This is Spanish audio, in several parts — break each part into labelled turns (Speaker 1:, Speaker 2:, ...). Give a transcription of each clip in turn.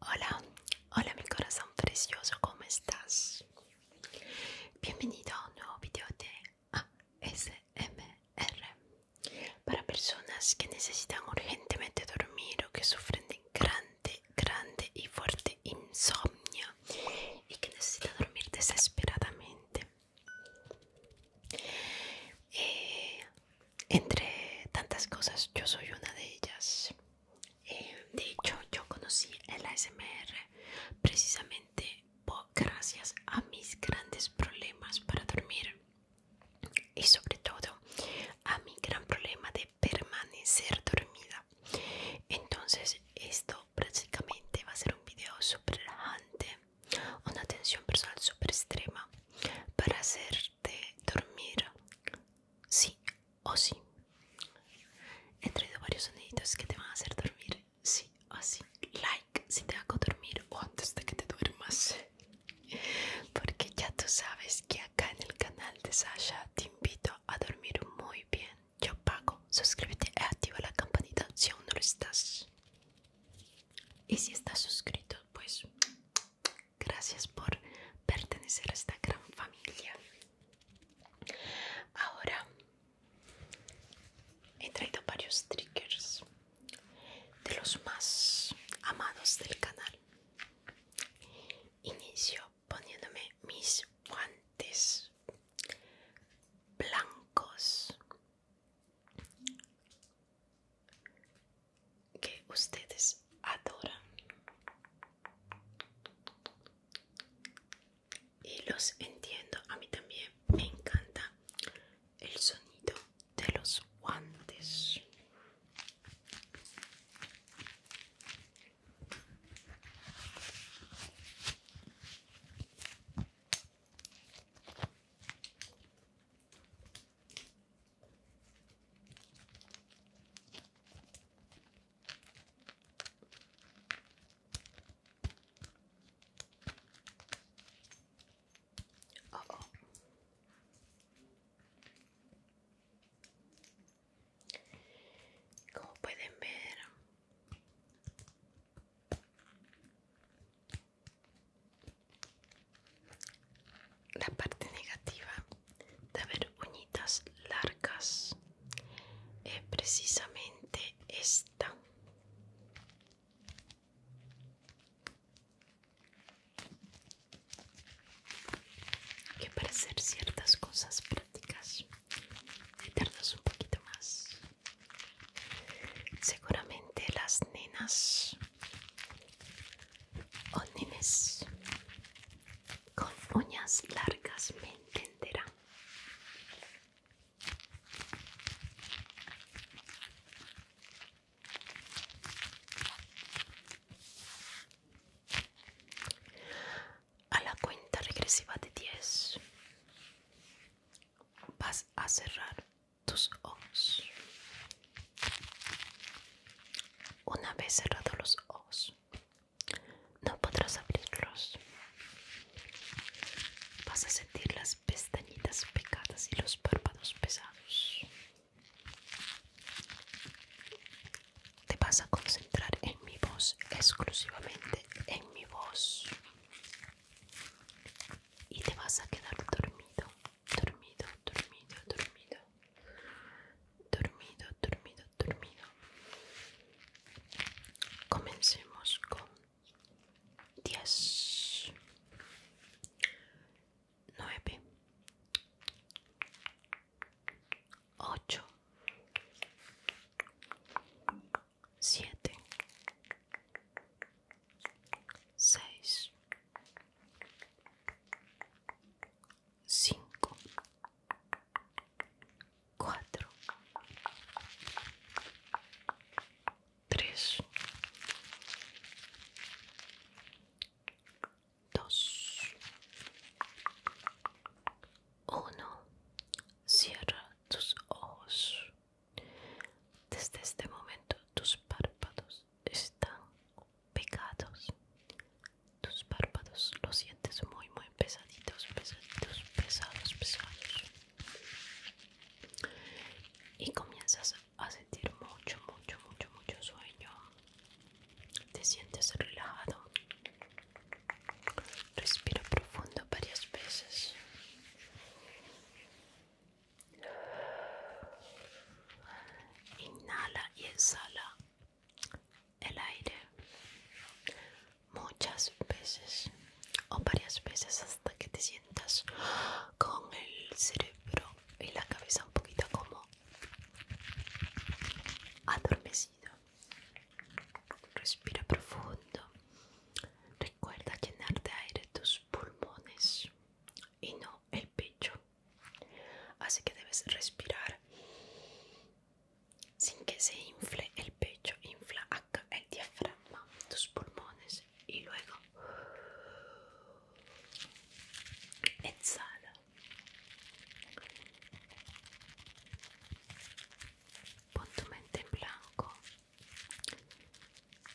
Speaker 1: Hola, hola mi corazón precioso, ¿cómo estás? Bienvenido a un nuevo video de ASMR para personas que necesitan urgentemente dormir o que sufren de grande, grande y fuerte insomnio y que necesitan dormir desesperadamente. Eh, entre tantas cosas, yo soy una de ellas. Eh, de hecho, yo conocí el ASMR precisamente gracias a mis grandes problemas para dormir y sobre todo a mi gran problema de permanecer dormida. Entonces, esto prácticamente va a ser un video súper relajante una atención personal super extrema para hacerte dormir sí o sí. He varios soniditos que te van a hacer dormir sí o sí. Like si te hago dormir o antes de que te duermas. Porque ya tú sabes que acá en el canal de Sasha te invito a dormir muy bien. Yo pago, suscríbete y activa la campanita si aún no lo estás. Y si estás suscrito, pues gracias por pertenecer a esta gran familia. Ahora he traído varios triggers de los más amados del canal. Inicio poniéndome mis guantes blancos que ustedes adoran y los entiendo a mí también me encanta el sonido de los guantes como pueden ver, la parte negativa de haber uñitas largas es precisamente esta. Que para hacer ciertas cosas prácticas tardas un poquito más. Seguramente las nenas Onines con uñas largas me entenderán. A la cuenta regresiva de 10 vas a cerrar tus ojos. Una vez cerrados los ojos, no podrás abrirlos. Vas a sentir las pestañitas picadas y los párpados pesados. Te vas a concentrar en mi voz, exclusivamente en mi voz. Y te vas a quedar dormido dormido, dormido, dormido, dormido, dormido, dormido. Comencemos con 10, 9, 8, 7, 6, 5 4 3 2 1 cierra tus ojos desde este momento tus párpados están pecados. Tus párpados los sientes muy, muy pesaditos, pesaditos, pesados, pesados. Y comienzas a sentir mucho, mucho, mucho, mucho sueño. Te sientes relajado. Respira profundo varias veces. Inhala y exhala el aire muchas veces o varias veces hasta que te sientas con el cerebro y la cabeza un poquito como adormecido. Respira profundo. Recuerda llenar de aire tus pulmones y no el pecho. Así que debes respirar sin que se infle el pecho, infla el diafragma, tus pulmones y luego exhala. Pon tu mente en blanco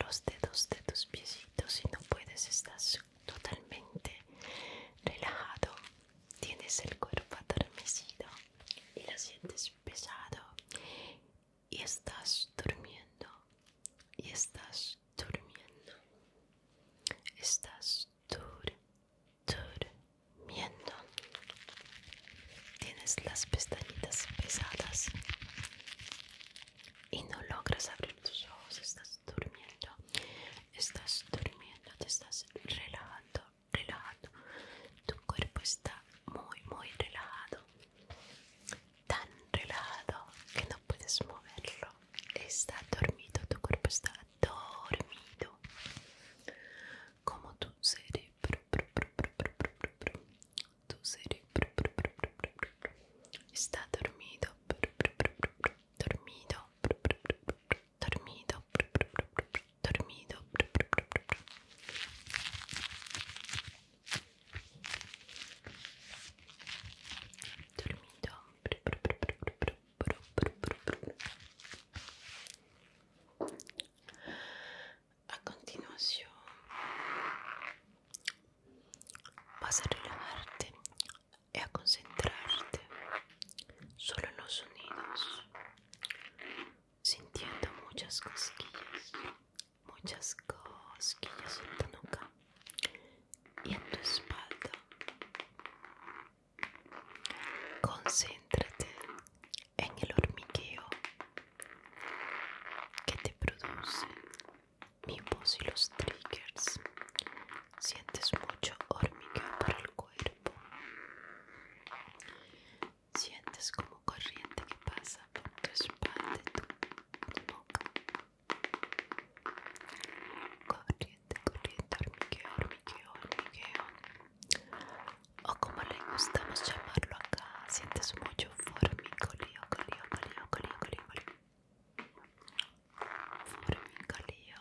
Speaker 1: los dedos de tus piecitos. y no puedes, estás totalmente relajado. Tienes el cuerpo adormecido y lo sientes pesado. Y estás durmiendo. Y estás durmiendo. Estás dur, durmiendo. Tienes las pestañitas pesadas y no logras abrir tus ojos, estás durmiendo, estás durmiendo, te estás relajando, relajado tu cuerpo está muy, muy relajado, tan relajado que no puedes moverlo, está dormido, tu cuerpo está dormido, como tu cerebro tu sei sta dormito dormito dormito dormito dormito a continuazione Vas a relajarte y a concentrarte solo en los sonidos, sintiendo muchas cosquillas, muchas cosquillas en tu nuca y en tu espalda. Concéntrate en el hormigueo que te produce mi voz y los triggers. Sientes mucho hormigueo para el cuerpo. Sientes como corriente que pasa por tu espalda y tu boca. Corriente, corriente, hormigueo, hormigueo, hormigueo. O como le gustamos llamarlo acá, sientes mucho hormigueo, golio, golio, golio, Hormigolio.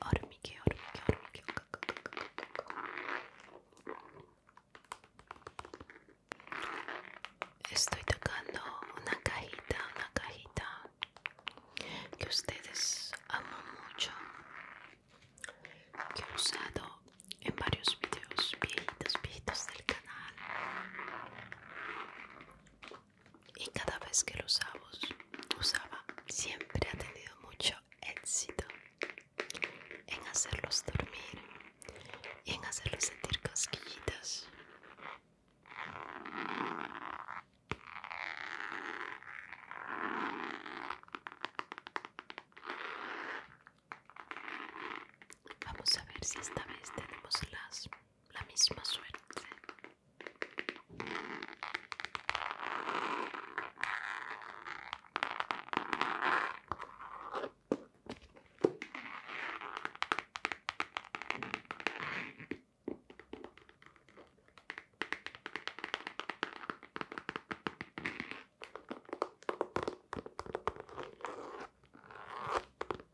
Speaker 1: hormigue hormigueo, hormigueo. Estoy tocando una cajita, una cajita que ustedes aman mucho. Que he usado en varios videos viejitos, viejitos canal y cada vez que lo usamos, usaba siempre ha tenido mucho éxito en hacerlos dormir y en hacerlos sentir cosquillitas Vamos a ver si esta vez tenemos la misma suerte.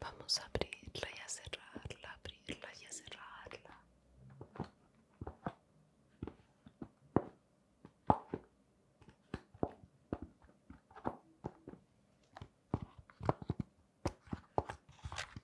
Speaker 1: Vamos a abrirla y a cerrarla, abrirla y a cerrarla.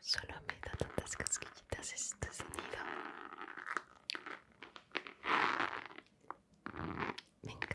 Speaker 1: Solo me da tantas casquillitas este sonido. Me encanta.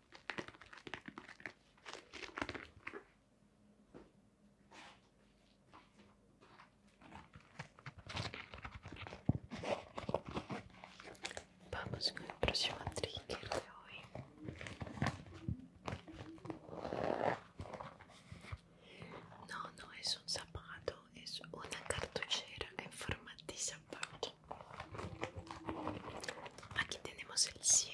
Speaker 1: Vamos con el próximo trigger de hoy. No, no es un zapato, es una cartuchera en forma de zapato aquí tenemos el cierre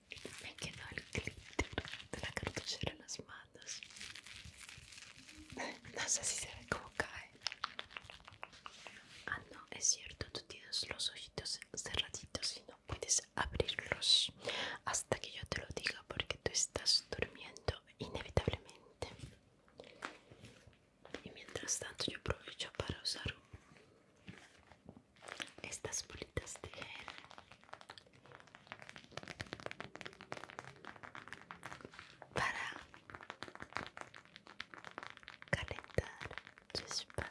Speaker 1: Me quedó el glitter de la cartuchera en las manos. No sé si se ve cómo cae. Ah, no, es cierto, tú tienes los ojitos cerraditos y no puedes abrirlos hasta que yo te lo diga porque tú estás durmiendo inevitablemente. Y mientras tanto yo aprovecho para usar estas bolitas de hierro para calentar tu espalda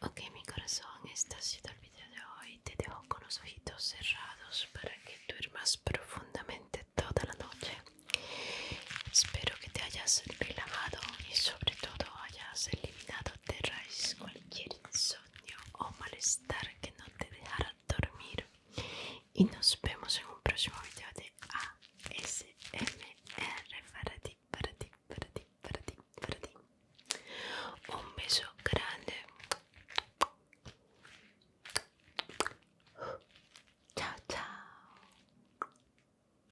Speaker 1: Ok, mi corazón, este ha sido el video de hoy. Te dejo con los ojitos cerrados para que duermas profundamente toda la noche. Espero que te hayas relajado y sobre todo ya hayas eliminado de raíz cualquier insomnio o malestar que no te dejara dormir. Y nos vemos en un próximo video de ASMR para ti, para ti, para ti, para ti, para ti. Un beso grande. Chao, chao.